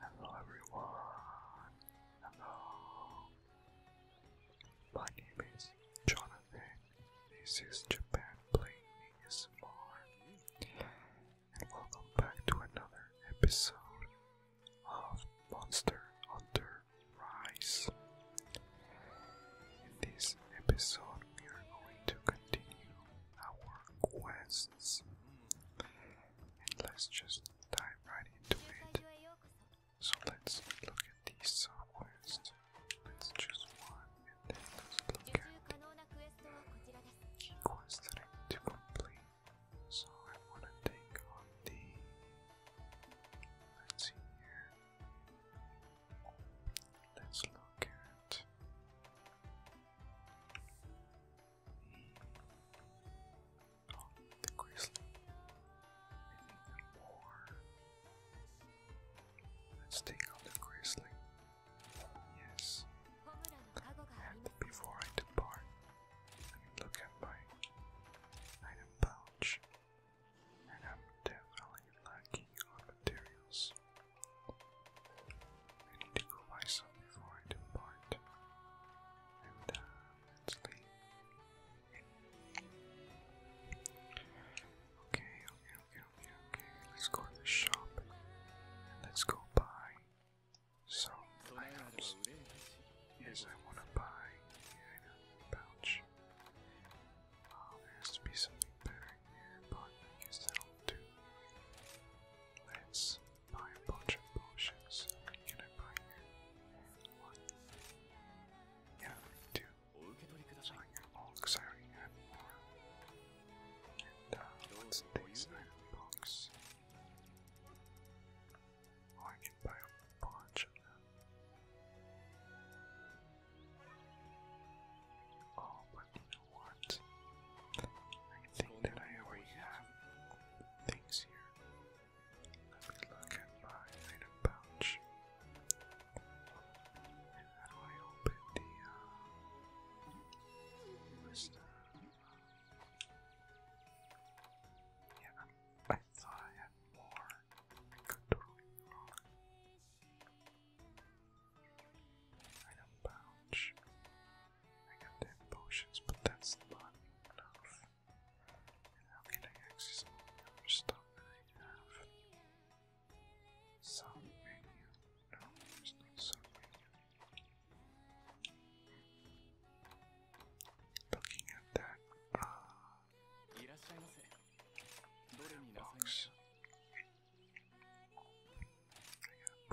Hello everyone. Hello. My name is Jonathan. This is Japan playing ASMR. And welcome back to another episode of Monster Hunter Rise. In this episode we are going to continue our quests let's just dive right into it. So let's look at these softwares. Let's choose one let's look at key quests that I need to complete. So I want to take on the. Let's see here. Let's look at the grizzly. Let's take out the grizzly. Yes. And before I depart, let me look at my item pouch. And I'm definitely lacking on materials. I need to cool myself before I depart. And let's leave. Okay, okay, okay, okay, okay. Let's go to the shop and let's go buy some items. Yes, I want to buy a pouch. there has to be something better here, but I guess that'll do. Let's buy a bunch of potions. Can I buy Yeah, two. So I can all because I And uh, what's this item box? Oh, I can buy a bunch of them. Oh, but what? I think that I already have things here. Let me look at my item pouch. how do I open the uh Yeah, I thought I had more. Item pouch. I got 10 potions, but that's not enough. And how can I access all the other have? Sub menu. No, there's no sub menu. Looking at that, uh, box. I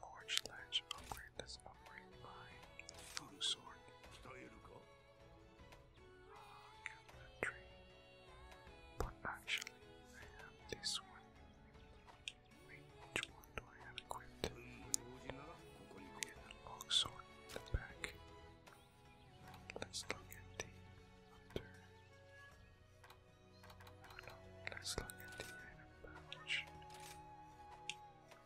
Forge Ledge upgrade. Let's upgrade my Voodoo Sword. Uh, Tree. But actually, I have this one. which one do I have equipped? Okay, the long sword in the back. Let's look at the under. No, no, let's look at the item I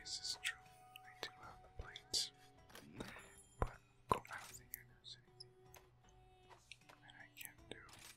guess it's true. I do have the plates. But I don't think I know anything that I can do.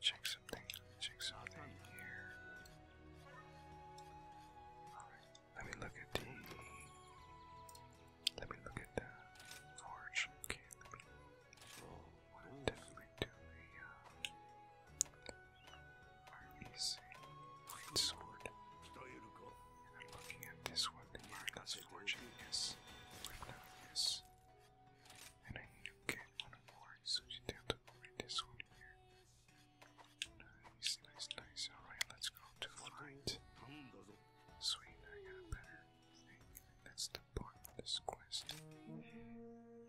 check something. Check something here. let me look at the let me look at the forge. Okay, definitely do a uh RBC white sword. I'm looking at this one, the Marcus yes. yes. And I need get one more so you have to read this one here. Nice, nice, nice. Alright, let's go to flight. Sweet, I got better That's the part of this quest.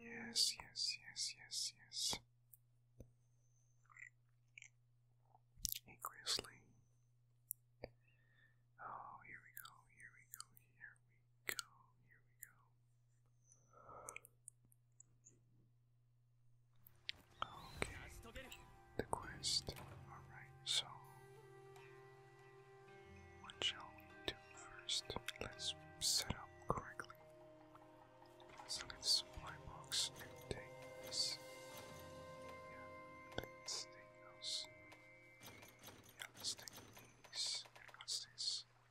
Yes, yes, yes, yes, yes. Hey, Grizzly. Oh, here we go, here we go, here we go, here we go. Okay, the quest. Alright, so what shall we do first? Let's set up correctly. So let's supply box and take let's take those. let's take these. what's this?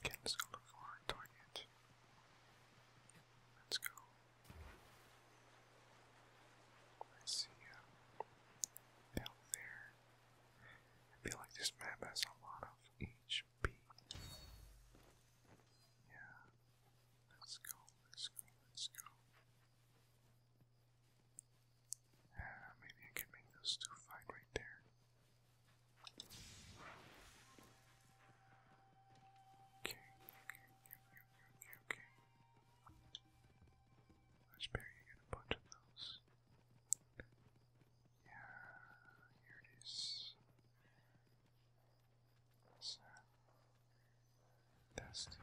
Again, just go look for a target. Let's go. I see uh, down there. I feel like this map has a lot of HP. Yeah. Let's go, let's go, let's go. Uh, maybe I can make those two fight right there. Okay, okay, okay, okay, okay. Let's bury you a bunch of those. Yeah, here it is. What's that? That's the.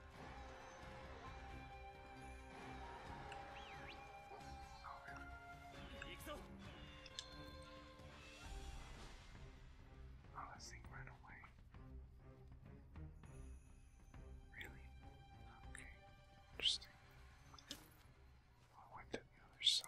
Oh, that thing ran away. Really? Okay, interesting. I went to the other side.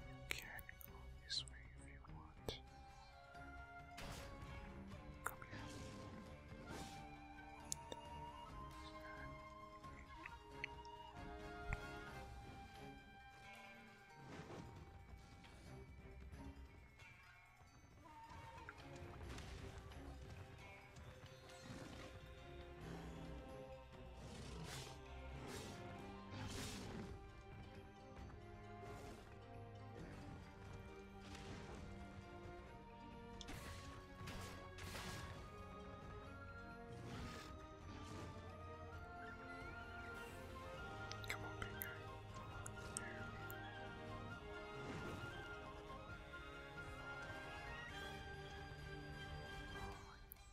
You go this way if you want. Come here. Come on, big guy. Oh,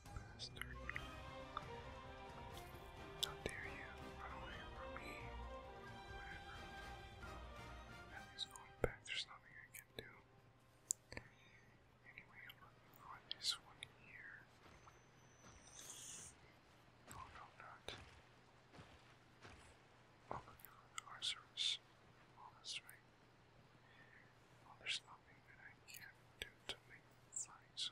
bastard. How dare you run away from me? Whatever. At least going back, there's nothing I can do. Anyway, I'm looking for this one here. Oh no, not. i Well, there's nothing that I can do to make the fight,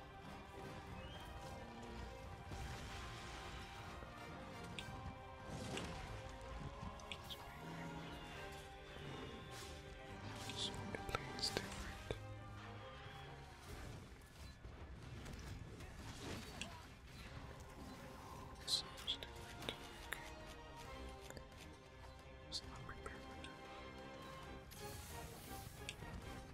So it plays different. So it's different. Okay. It's not prepared for that.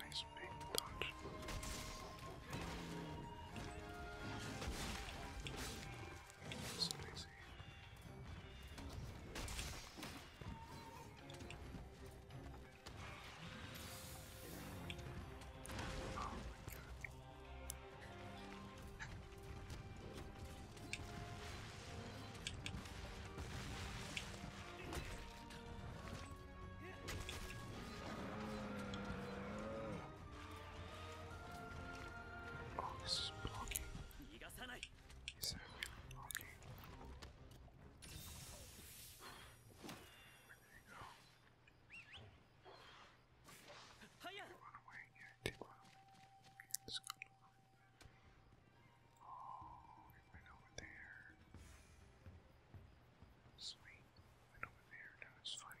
Nice big dodge. So easy. Oh my god. Oh, this is blocking. Is that really blocking? Where did it go? Run away, yeah, take one. Let's go. Oh, it went over there. Sweet. Went over there. Now it's fighting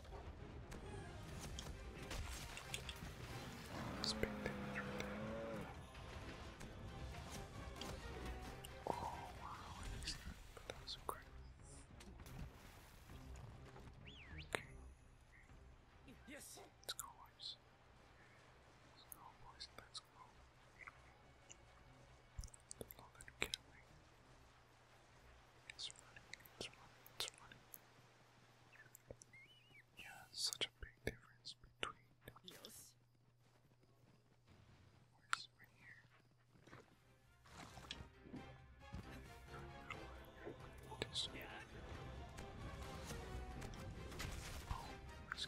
It's big damage right there. Oh wow, I missed that, but that was incredible. Okay. Yes. Let's go, boys. Let's go, boys. Let's go. Don't let him get away. It's running, it's running, it's running. Yeah, such a big difference between. Yes. Where's right here? This one. Oh, that's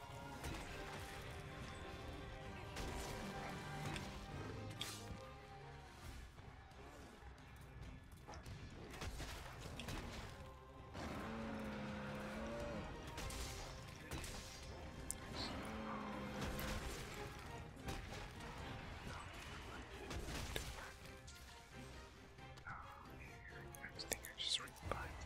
Oh, here, I think I just read behind that.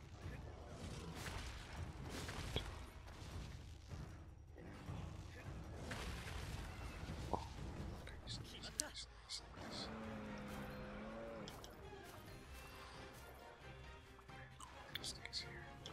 Oh, nice, nice, nice, nice, nice. This thing's here. Two.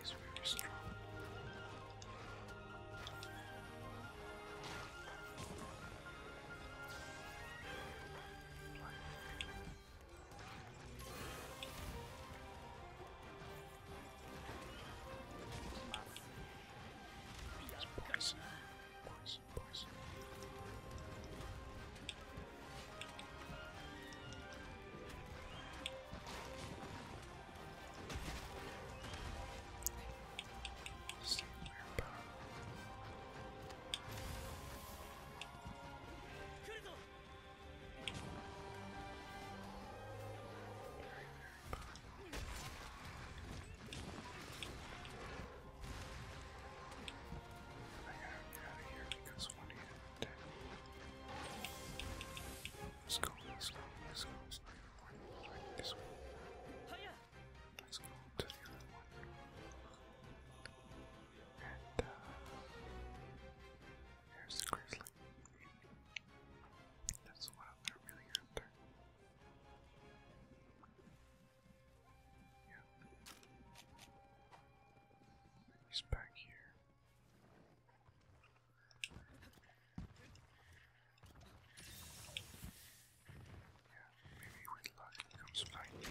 He's very strong. He's poison. Poison boys. Stay there, very, very I gotta get out of here because one of you dead. Let's go, let's go, let's go. It's not even going right this way. Let's go to the other one. And, uh, there's the grizzly. That's what I'm really after. Yeah. He's back here. Yeah, maybe with luck he comes lightning.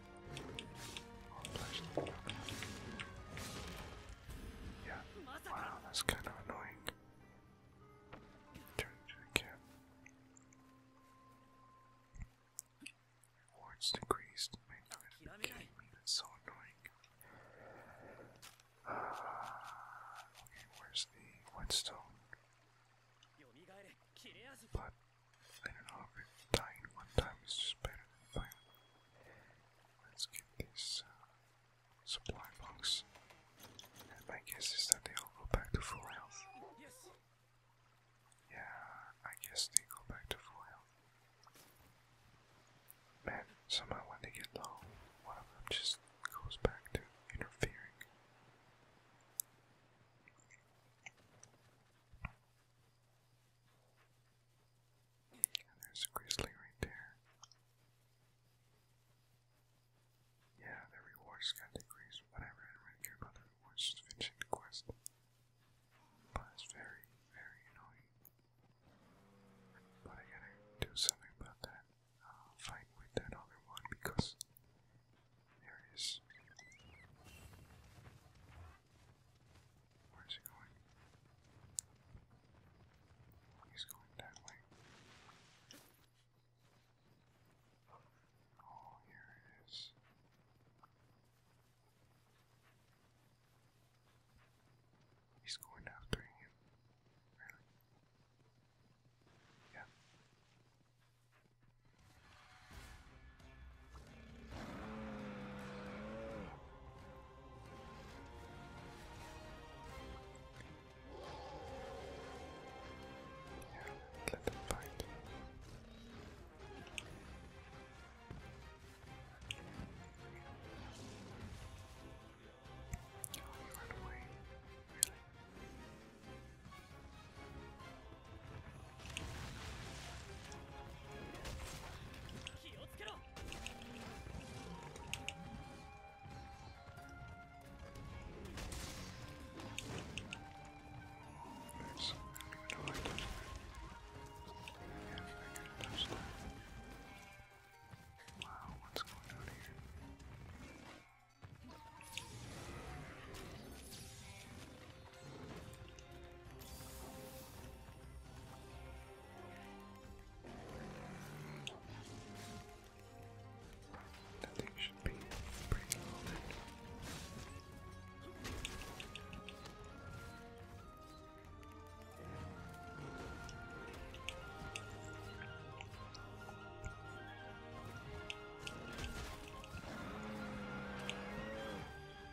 yeah. Wow, that's kind of annoying. Turn to the camp. Rewards decreased. Wait, me? so annoying. Uh, okay, where's the whetstone? But I don't know if dying one time is just better than failing. Let's get this uh, supply box. my guess is that they all go back to full health. Yeah, I guess they go back to full health. Man, somehow when they get low, one of them just goes back to interfering. And there's a grizzly right there. Yeah, the rewards got decreased, whatever, I don't really care about the rewards, just finishing the quest. But it's very, very annoying. But I gotta do something about that uh, fight with that one because there Where's he going? He's going that way. Oh, here it is. He's going after him. Really? Yeah. Let them fight. Oh, you ran away. Really? Thanks. I like that. Yeah, I figured that's that. Wow, what's going on here? I think it should be pretty loaded.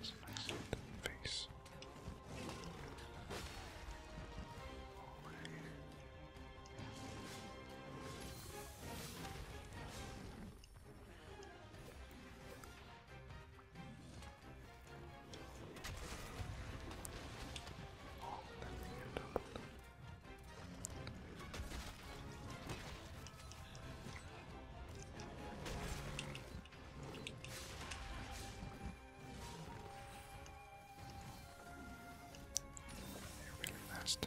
It's nice face. Over here. Oh, that thing got doubled. They're really fast.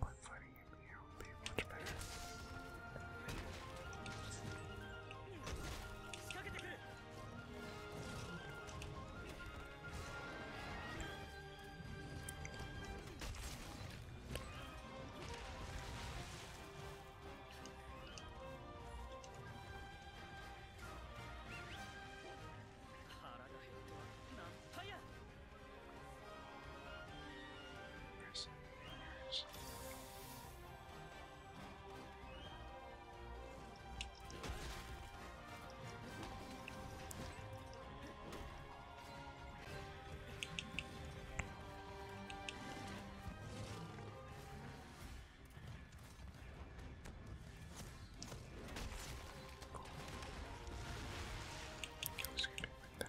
but fighting him here will be much better. Let's get it right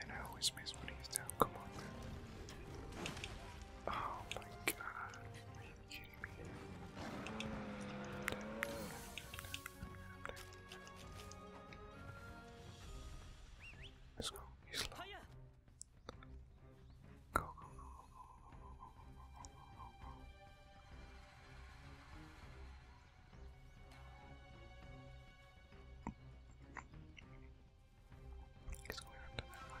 And I always miss when he's down. Come on, man. Oh my god. Let's go. He's slow. Go, go, go, go, go, go, go, go, go, go. He's going up to that way.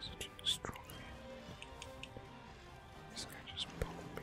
Such a strong man. This guy just poked me.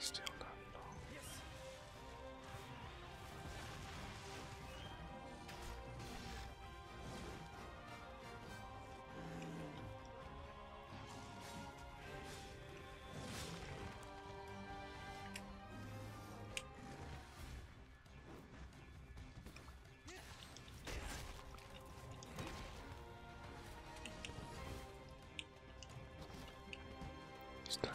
Still not long. Yes. He's dying.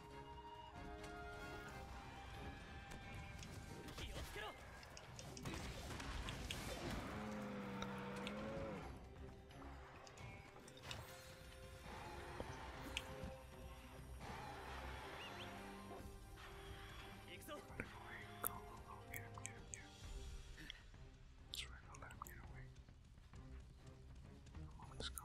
Go, go, go, get him, get him, get him. That's right, I'll let him get away. Come on, let's go.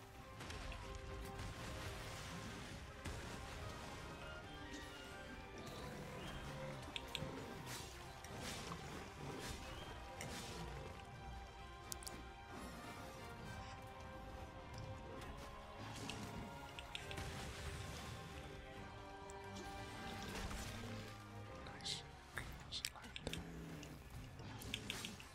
Nice. Okay, select.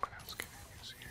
What else can I use here?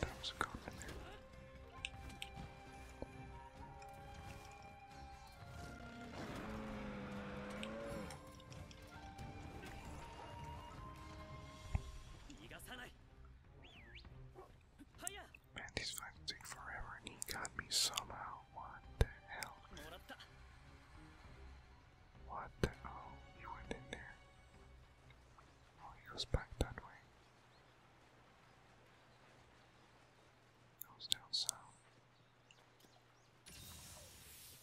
That was a cop in there. Man, these fights take forever, he got me somehow what the hell? What the? Oh, you went in there. Oh, he goes back that way. Goes down south.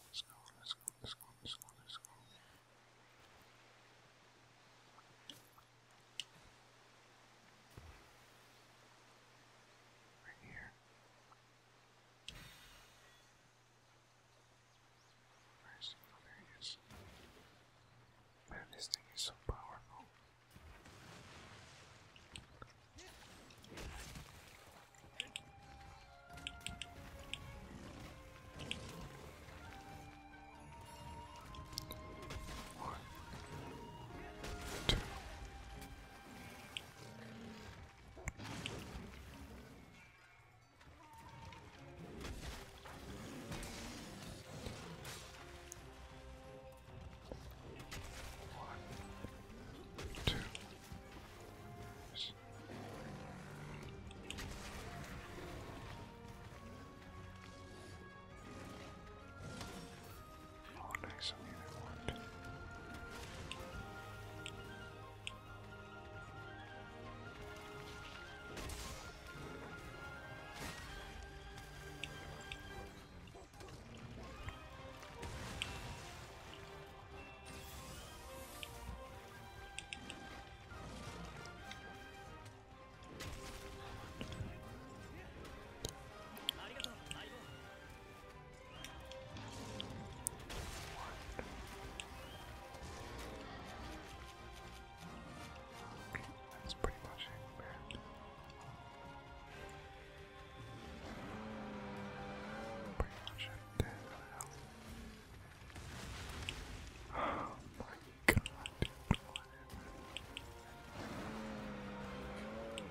Let's go, let's go, let's go, let's go, let's go. Right here here. Where is he? Oh, there he is. Man, this thing is so powerful. One, two, one, two. Yes. Oh, nice on the other one. That's pretty much it, man. Pretty much it. Oh my god,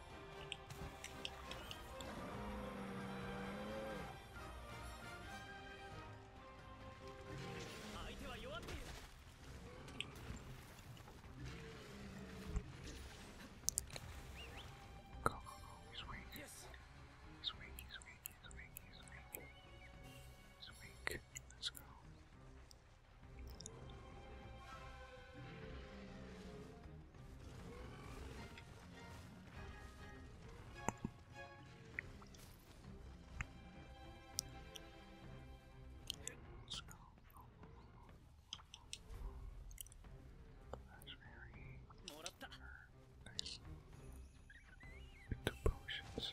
Go, go, go. He's weak. Yes. He's weak, he's weak, he's weak, he's weak. He's weak. Let's go. Let's go. Raspberry. Nice. Into potions.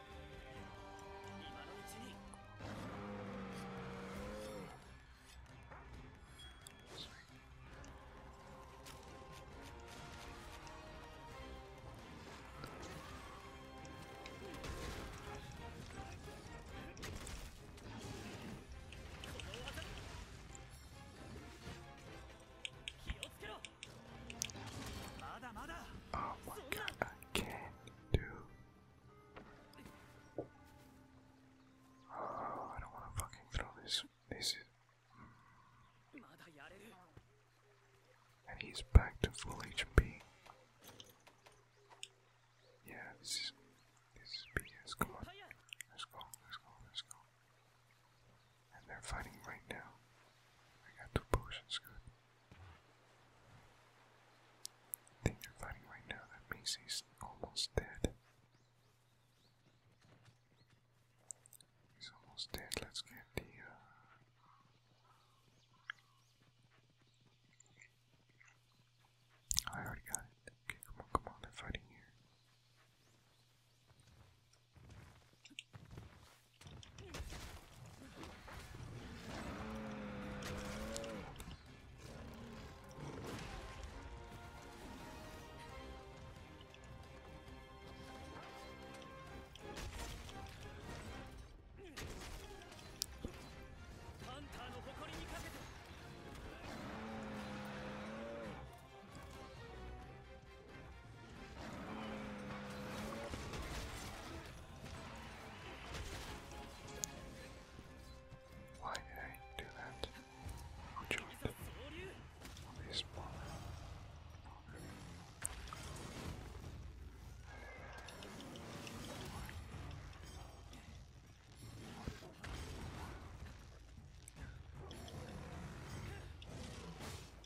今のうちに気をつけろ Oh my god, I can't do. Oh, I don't want to fucking throw this. This is. And he's back to full HP. Yeah, this is. This is BS. Let's go, let's go, let's go. And they're fighting right now. I got two potions, good they're fighting right now that Macy's almost dead. He's almost dead. Let's get the. Uh, I already got it. Okay, come on, come on, they're fighting here. ファンターの誇りにかけて。Why did I do that? Who jumped? These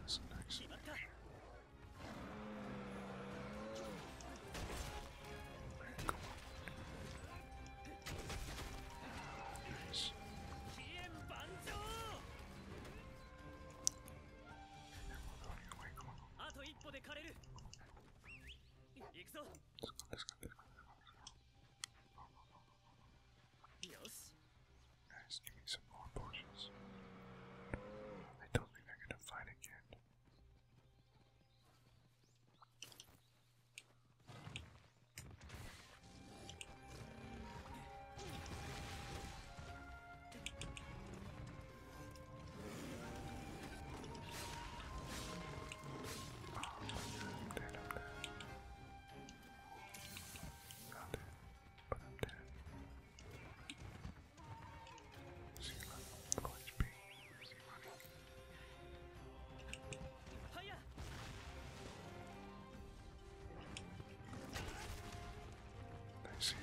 That's nice. Come on. Nice. Come on. Yes. give me some more bushes. I don't think they're gonna fight again. Oh, dead, i Found it. But I'm dead. Zero. Full HP. Zero money. Nice hit.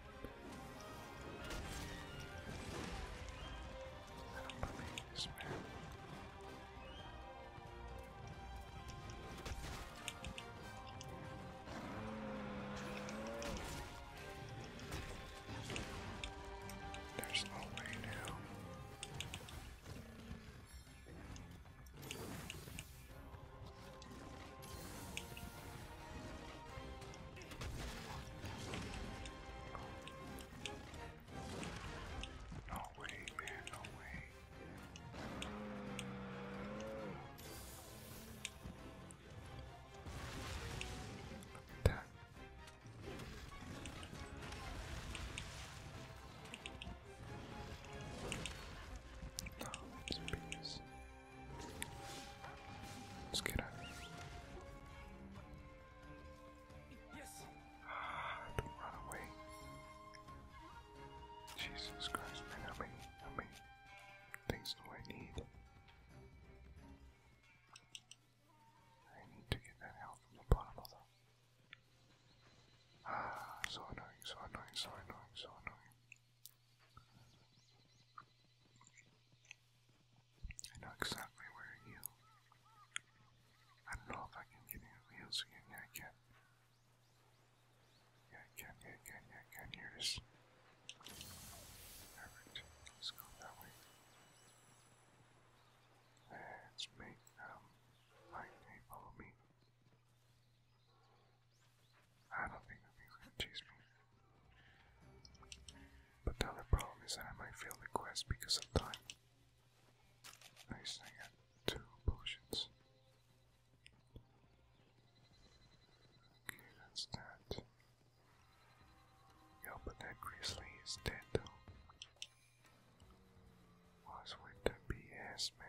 I don't believe this man. There's no way now. No way, man, no way. Look at that. No, it's peace. Let's get out of here. Yes. Ah, don't run away. Jesus Christ, help me, help me. Things do I need. I need to get that health from the bottom of Ah, so annoying, so annoying, so annoying, so annoying. I know exactly where you. I don't know if I can get any wheels again. Yeah, I can. Yeah, can. Yeah, can. Yeah, I can. Here let's go that way. Let's make um like they follow me. I don't think that thing's chase me. But the other problem is that I might fail the quest because of time. At least two potions. Okay, that's that. Yo, but that grizzly is dead though. What's with the BS, man?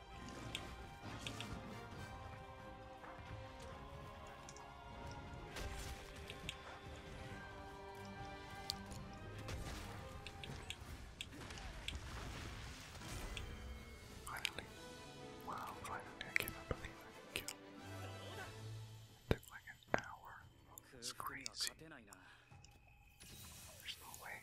Finally. Wow, finally I cannot believe I kill. took like an hour. It's crazy. There's no way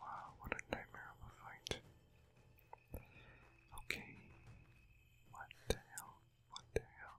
Wow, what a nightmare of a fight. Okay. What the hell? What the hell?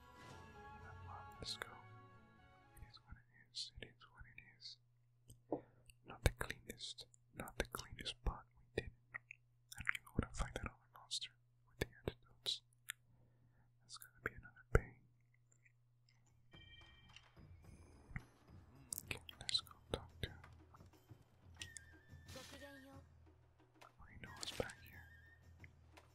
Let's go. It is what it is. It is what it is. Not the cleanest. Not the cleanest pot we did. I don't even want to fight that other monster with the antidotes. That's gonna be another pain. Okay, let's go talk Oh, he knows back here.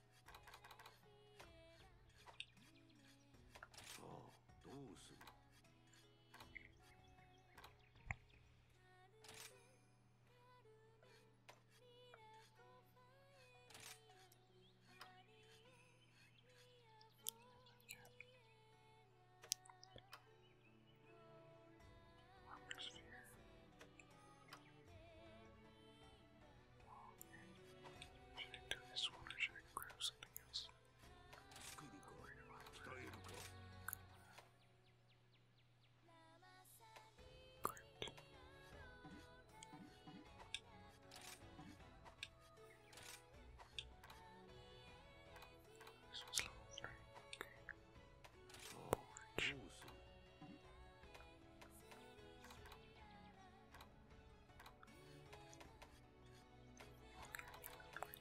さあどうする I need to do this one or should I grab something else? I'll worry about that. Great. This was level 3, okay. Orange. Ooh, so.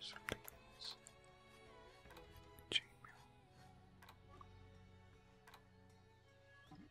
Something else. Gmail. Awesome.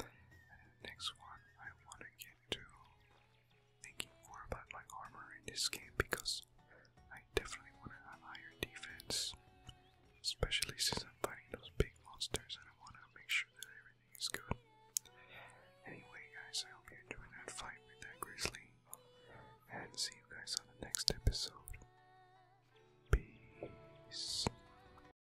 And the next one, I want to get to thinking more about my armor in this game because I definitely want to have higher defense, especially since I'm fighting those big monsters and I want to make sure that everything is good. Anyway, guys, I hope you enjoyed that fight with that grizzly, and see you guys on the next episode. Peace.